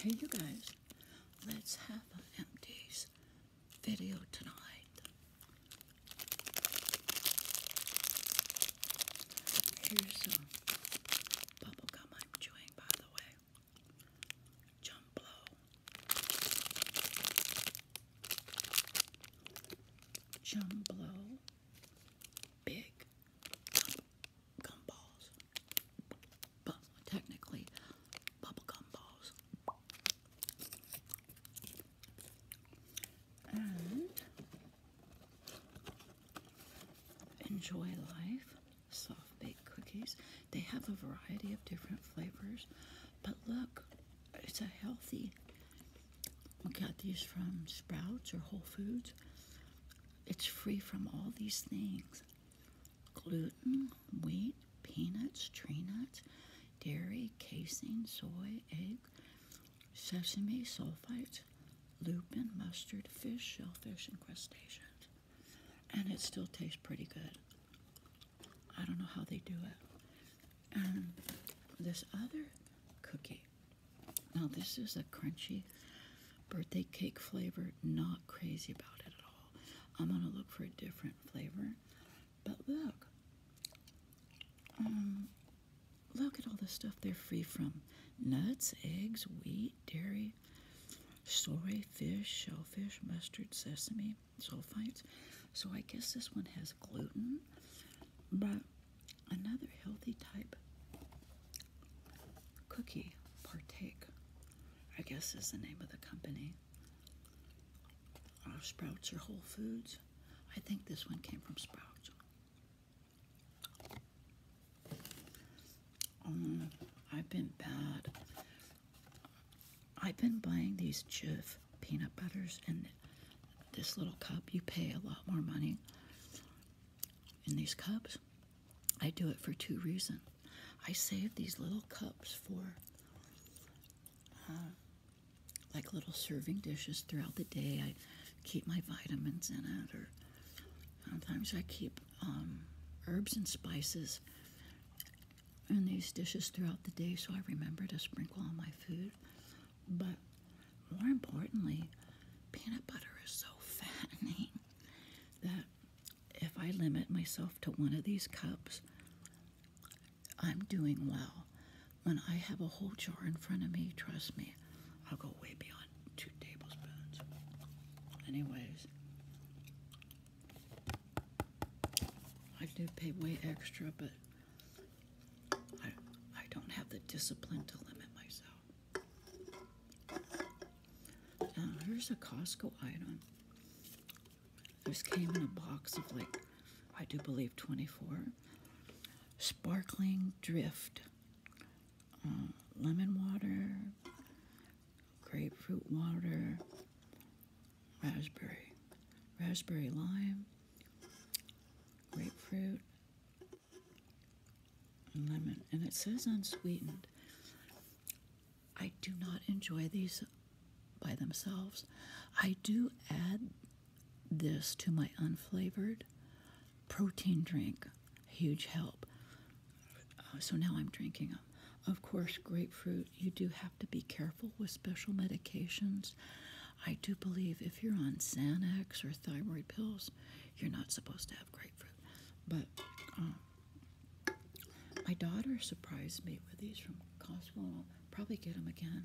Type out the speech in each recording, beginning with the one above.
Hey, you guys, let's have a empties video tonight. Here's some bubblegum I'm chewing, by the way. Jump blow big gum balls. But technically, bubble gum balls. And enjoy life soft baked cookies. They have a variety of different flavors, but look, it's a healthy we got these from Sprouts or Whole Foods. It's free from all these things gluten, wheat, peanuts, tree nuts, dairy, casein, soy, egg, sesame, sulfites, lupin, mustard, fish, shellfish, and crustaceans. And it still tastes pretty good. I don't know how they do it. And this other cookie now, this is a crunchy birthday cake flavor, not crazy about it at all. I'm gonna look for a different flavor, but look. Um, look at all the stuff they're free from nuts, eggs, wheat, dairy, soy, fish, shellfish, mustard, sesame, sulfites. So I guess this one has gluten, but Another healthy type cookie, Partake, I guess is the name of the company. Uh, Sprouts or Whole Foods. I think this one came from Sprouts. Um, I've been bad. I've been buying these Jif peanut butters and this little cup, you pay a lot more money in these cups. I do it for two reasons. I save these little cups for uh, like little serving dishes throughout the day. I keep my vitamins in it, or sometimes I keep um, herbs and spices in these dishes throughout the day so I remember to sprinkle on my food. But more importantly, peanut butter is so fattening that if I limit myself to one of these cups, I'm doing well. When I have a whole jar in front of me, trust me, I'll go way beyond two tablespoons. Anyways, I do pay way extra, but I, I don't have the discipline to limit myself. Now, here's a Costco item. This came in a box of like, I do believe 24. Sparkling Drift. Um, lemon water, grapefruit water, raspberry, raspberry lime, grapefruit, lemon, and it says unsweetened. I do not enjoy these by themselves. I do add this to my unflavored protein drink, huge help. Uh, so now I'm drinking them. Of course, grapefruit, you do have to be careful with special medications I do believe if you're on Xanax or thyroid pills, you're not supposed to have grapefruit. But um, my daughter surprised me with these from Costco, and I'll probably get them again.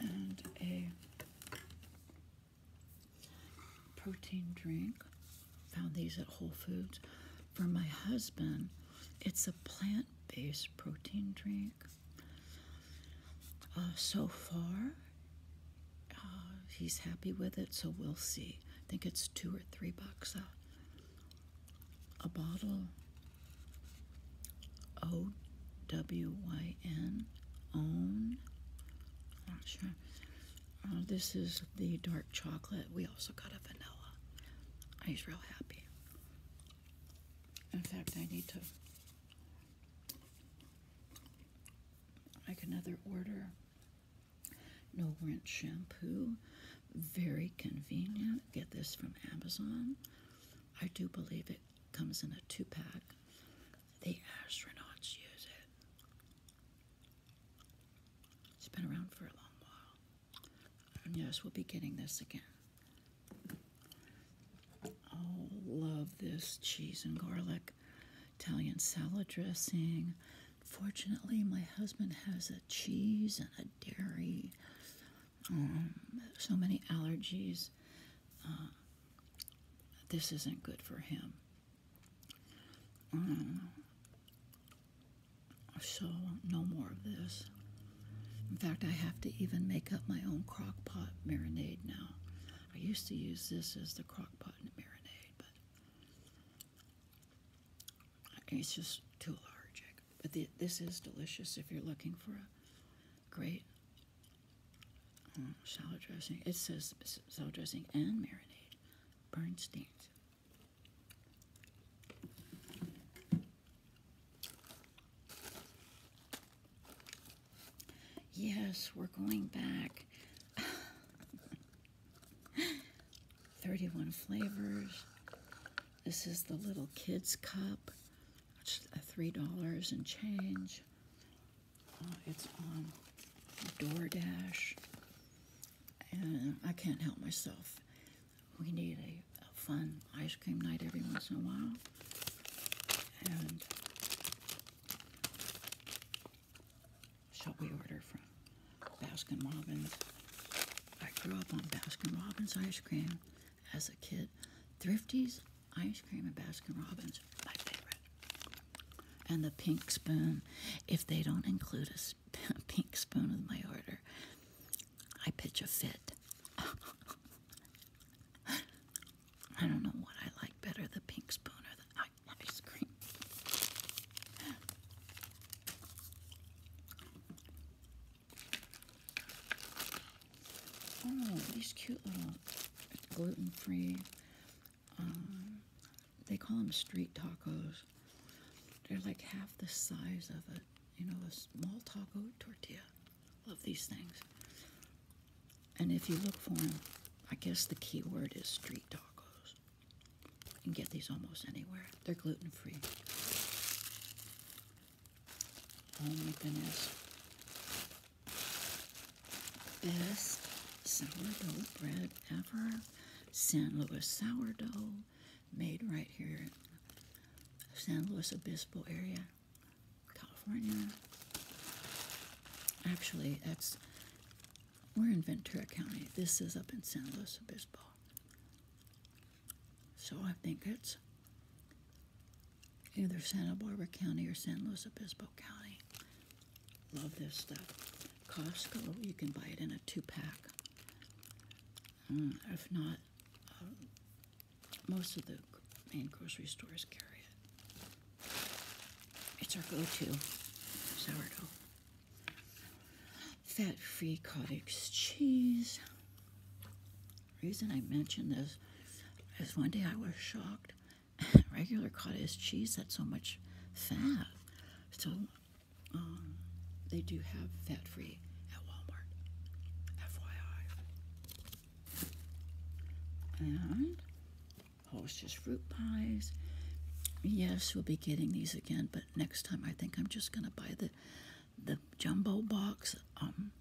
And a protein drink. Found these at Whole Foods. For my husband, it's a plant plant based protein drink. Uh, so far, uh, he's happy with it, so we'll see. I think it's two or three bucks a, a bottle. O W Y N, own. Not sure. Uh, this is the dark chocolate. We also got a vanilla. He's real happy. In fact, I need to make another order. No rinse shampoo. Very convenient. Get this from Amazon. I do believe it comes in a two pack. The astronauts use it. It's been around for a long while yes, we'll be getting this again. Oh, love this cheese and garlic Italian salad dressing. Fortunately, my husband has a cheese and a dairy. Um, so many allergies. Uh, this isn't good for him. Um, so, no more of this. In fact, I have to even make up my own crock pot marinade now. I used to use this as the crock pot marinade, but it's just too large. But this is delicious if you're looking for a great mm, salad dressing. It says salad dressing and marinade. Bernstein's. Yes, we're going back. 31 flavors. This is the little kids cup. It's $3 and change. Uh, it's on DoorDash. And I can't help myself we need a, fun ice cream night every once in a while. And so we order from Baskin Robbins. I grew up on Baskin Robbins ice cream as a kid. Thrifties, ice cream and Baskin Robbins, my favorite. And the pink spoon. If they don't include a, a pink spoon with my order, I pitch a fit. I don't know what I like better, the pink spoon or the ice cream. Oh, these cute little gluten-free, um, they call them street tacos. They're like half the size of a, you know, a small taco tortilla. Love these things. And if you look for them, I guess the key word is street tacos. You can get these almost anywhere. They're gluten free. Oh my goodness. Best sourdough bread ever. San Luis sourdough made right here in San Luis Obispo area, California. Actually, that's we're in Ventura County. This is up in San Luis Obispo. So I think it's either Santa Barbara County or San Luis Obispo County. Love this stuff. Costco, you can buy it in a two pack. Mm, if not, um, most of the main grocery stores carry it. It's our go-to sourdough. Fat-free cottage cheese. reason I mention this is one day I was shocked. Regular cottage cheese had so much fat. So um, they do have fat-free at Walmart. FYI. And Hostess fruit pies. Yes, we'll be getting these again, but next time I think I'm just gonna buy the the jumbo box. Um,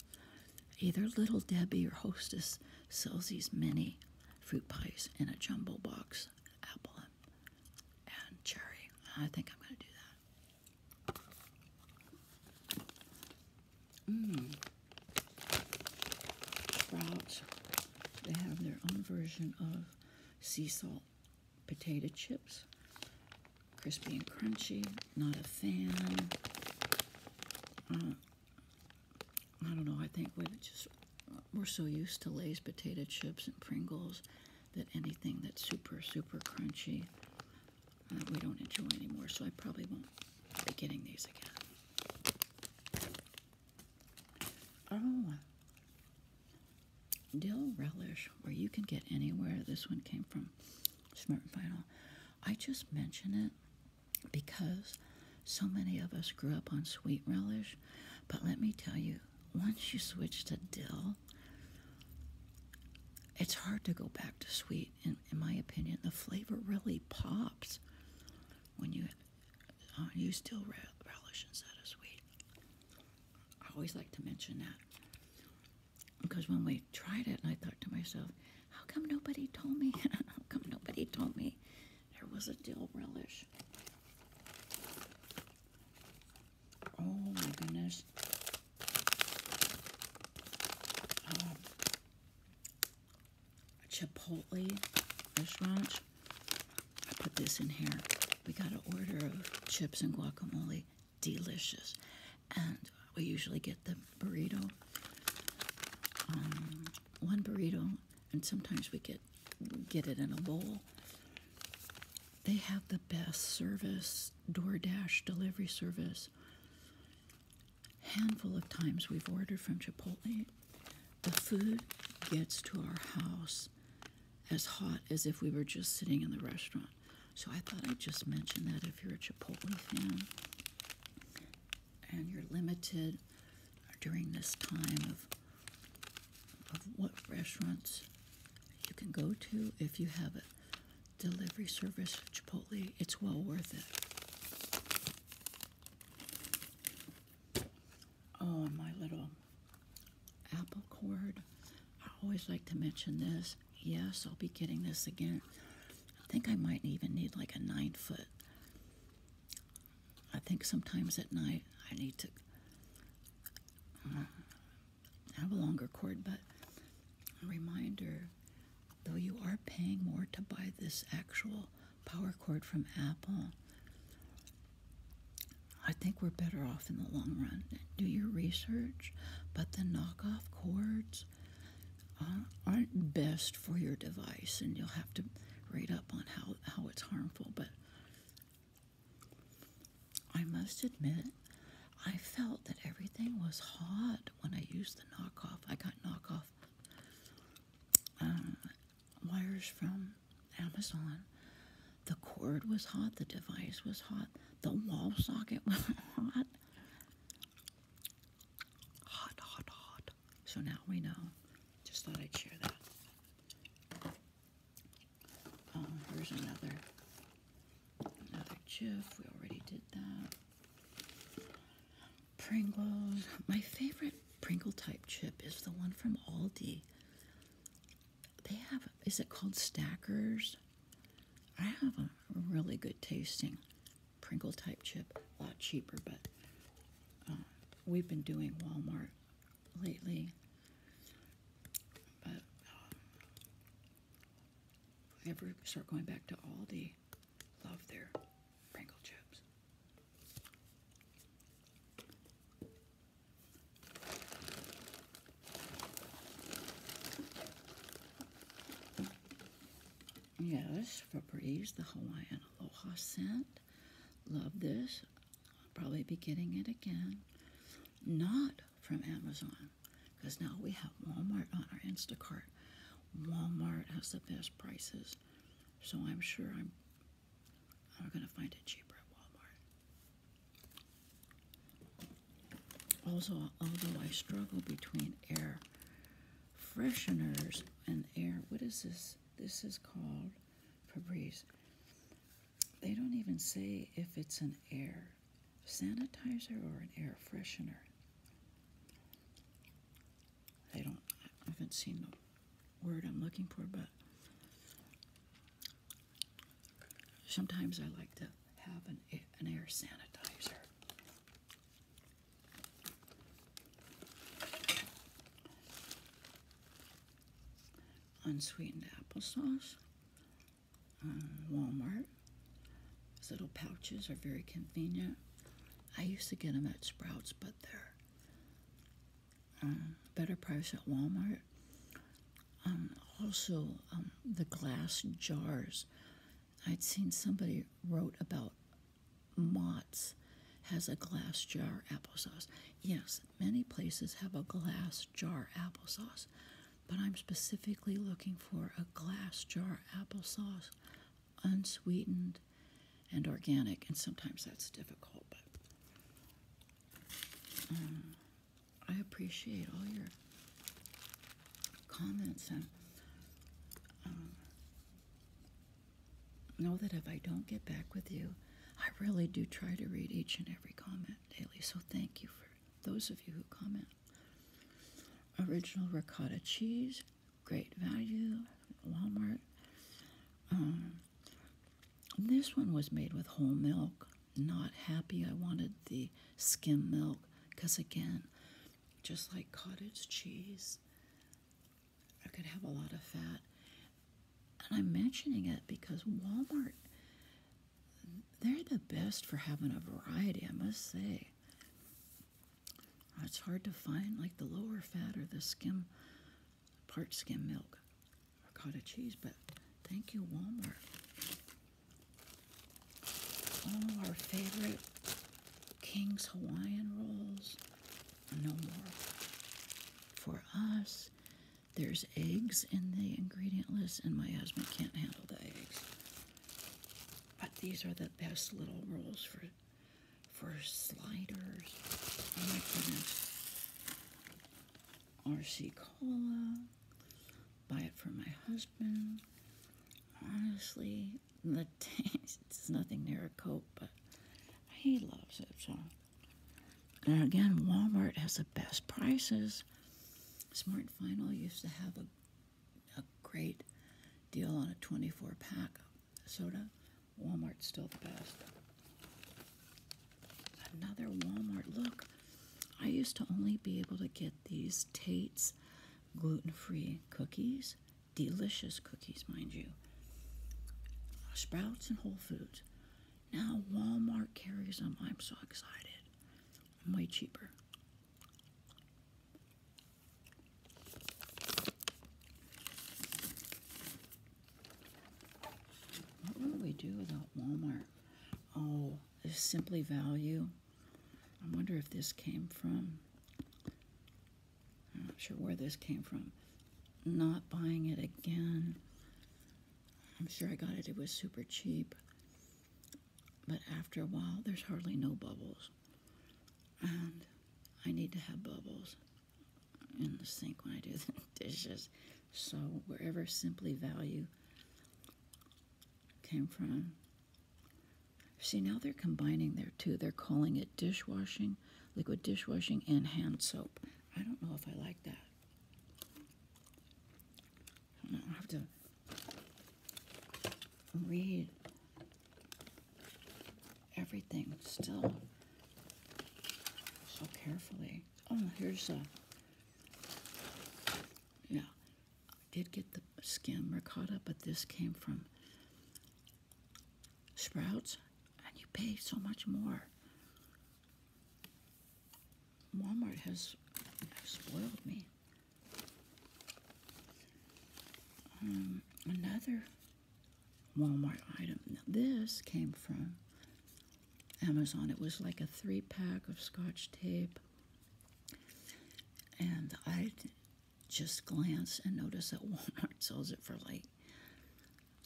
either Little Debbie or Hostess sells these mini fruit pies in a jumbo box, apple and cherry. I think I'm gonna do that. Mm. Sprouts, they have their own version of sea salt potato chips. Crispy and crunchy, not a fan. Uh, I don't know, I think we just, we're so used to Lay's potato chips and Pringles that anything that's super, super crunchy uh, we don't enjoy anymore, so I probably won't be getting these again. Oh, dill relish, where you can get anywhere. This one came from Smart and Final. I just mention it because so many of us grew up on sweet relish, but let me tell you, once you switch to dill, it's hard to go back to sweet, in, my opinion. The flavor really pops when you uh, you still relish instead of sweet. I always like to mention that because when we tried it, and I thought to myself, how come nobody told me? how come nobody told me there was a dill relish? Oh my goodness um, Chipotle restaurant. I put this in here. We got an order of chips and guacamole. Delicious. And we usually get the burrito. Um, one burrito, and sometimes we get get it in a bowl. They have the best service this DoorDash delivery service. Handful of times we've ordered from Chipotle, the food gets to our house as hot as if we were just sitting in the restaurant. So I thought I'd just mention that if you're a Chipotle fan and you're limited during this time of, of what restaurants you can go to if you have it delivery service Chipotle. It's well worth it. Oh, my little apple cord. I always like to mention this. Yes, I'll be getting this again. I think I might even need like a nine foot. I think sometimes at night I need to. I have a longer cord, but a reminder though you are paying more to buy this actual power cord from Apple, I think we're better off in the long run. Do your research, but the knockoff cords uh, aren't best for your device, and you'll have to read up on how, how it's harmful. But I must admit, I felt that everything was hot when I used the knockoff. I got knockoff uh, wires from Amazon. The cord was hot, the device was hot, the wall socket was hot. Hot, hot, hot. So now we know. Just thought I'd share that. Oh, here's another Another chip. we already did that. Pringles. My favorite Pringle type chip is the one from Aldi. They have, is it called Stackers? I have a really good tasting Pringle type chip. A lot cheaper, but um, we've been doing Walmart lately. Um, ever start going back to Aldi, love their Pringle chips. Yes, Febreze, the Hawaiian Aloha scent. Love this. I'll probably be getting it again. Not from Amazon because now we have Walmart on our Instacart. Walmart has the best prices, so I'm sure I'm I'm gonna find it cheaper at Walmart. Also, although I struggle between air fresheners and air, what is this? This is called Febreze. They don't even say if it's an air sanitizer or an air freshener? They don't, I haven't seen the word I'm looking for, but sometimes I like to have an, an air sanitizer. Unsweetened apple sauce. Um, Walmart. These little pouches are very convenient. I used to get them at Sprouts, but they're um, better price at Walmart. Um, also, the glass jars. I'd seen somebody wrote about Mott's has a glass jar applesauce. Yes, many places have a glass jar applesauce but I'm specifically looking for a glass jar applesauce, unsweetened and organic. And sometimes that's difficult, but um, I appreciate all your comments and um, know that if I don't get back with you, I really do try to read each and every comment daily. So thank you for those of you who comment original ricotta cheese, great value, Walmart. Um, this one was made with whole milk. Not happy. I wanted the skim milk because, again, just like cottage cheese, I could have a lot of fat. And I'm mentioning it because Walmart, they're the best for having a variety, I must say. Uh, it's hard to find like the lower fat or the skim, part skim milk or cottage cheese, but thank you, Walmart. All our favorite King's Hawaiian rolls, no more. For us, there's eggs in the ingredient list, and my husband can't handle the eggs. But these are the best little rolls for for sliders. Oh my goodness. RC Cola. Buy it for my husband. Honestly, the taste it's nothing near a Coke, but he loves it. So and again, Walmart has the best prices. Smart Final used to have a a great deal on a 24 pack of soda. Walmart's still the best. Another Walmart. Look, I used to only be able to get these Tate's gluten free cookies, delicious cookies, mind you. Sprouts and Whole Foods. Now Walmart carries them. I'm so excited. way cheaper. What would we do without Walmart? Oh, this Simply Value. I wonder if this came from. I'm not sure where this came from. Not buying it again. I'm sure I got it. It was super cheap but after a while, there's hardly no bubbles. And I need to have bubbles in the sink when I do the dishes. So wherever Simply Value came from. See, now they're combining there too. They're calling it dishwashing, liquid dishwashing, and hand soap. I don't know if I like that. I have to read everything still so carefully. Oh, here's a, yeah, I did get the skim ricotta, but this came from Sprouts, and you pay so much more. Walmart has spoiled me. Um, another Walmart item. this came from Amazon. It was like a three pack of scotch tape. And I just glanced and noticed that Walmart sells it for like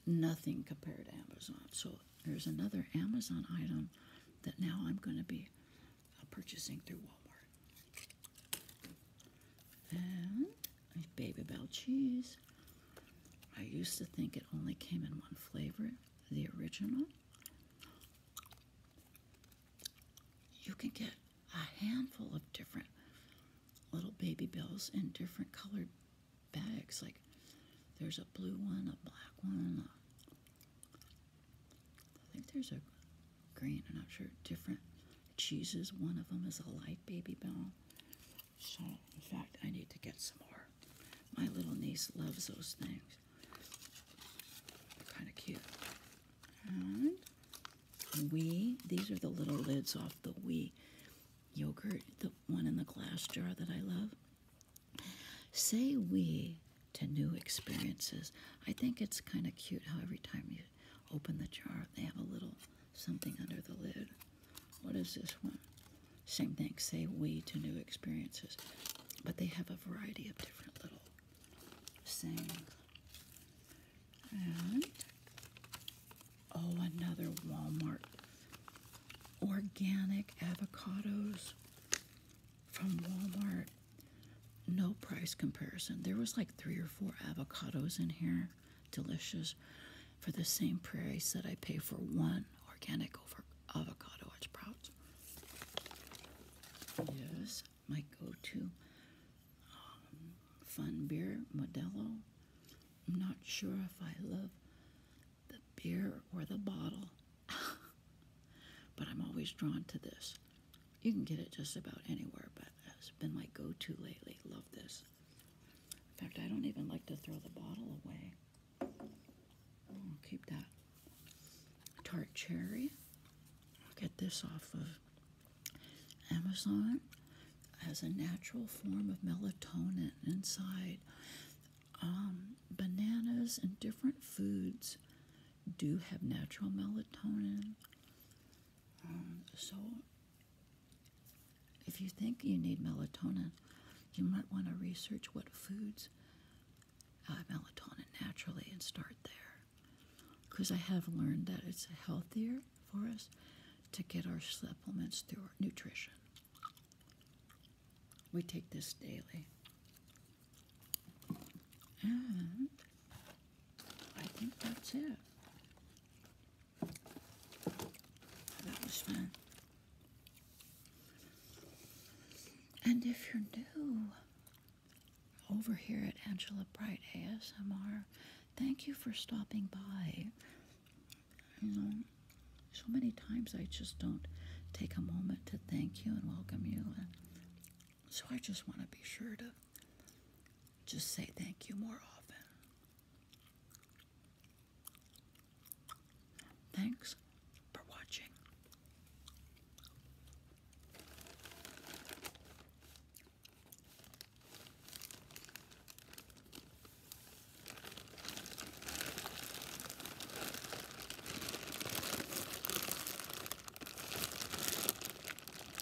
nothing compared to Amazon. So there's another Amazon item that now I'm going to be purchasing through Walmart. And Baby Bell cheese. I used to think it only came in one flavor, the original. You can get a handful of different little baby bells in different colored bags. Like there's a blue one, a black one, a I think there's a green, I'm not sure, different cheeses. One of them is a light baby bell. So, in fact, I need to get some more. My little niece loves those things. Kind of cute. And we, these are the little lids off the wee yogurt, the one in the glass jar that I love. Say we to new experiences. I think it's kind of cute how every time you open the jar, they have a little something under the lid. What is this one? Same thing, say we to new experiences. But they have a variety of different little things. And, oh, another Walmart. Organic avocados from Walmart. No price comparison. There was like three or four avocados in here, delicious, for the same price that I pay for one organic over avocado at Sprouts. Yes, my go-to um, fun beer, Modelo. I'm not sure if I love the beer or the bottle, but I'm always drawn to this. You can get it just about anywhere, but it's been my go-to lately. Love this. In fact, I don't even like to throw the bottle away. keep that. Tart Cherry. I'll get this off of Amazon as a natural form of melatonin inside. Um, bananas and different foods do have natural melatonin. Um, so, if you think you need melatonin, you might want to research what foods uh, melatonin naturally and start there. Because I have learned that it's healthier for us to get our supplements through our nutrition. We take this daily. And I think that's it. That And if you're new over here at Angela Bright ASMR, thank you for stopping by. You know, so many times I just don't take a moment to thank you and welcome you. And so I just want to be sure to just say thank you more often. Thanks for watching.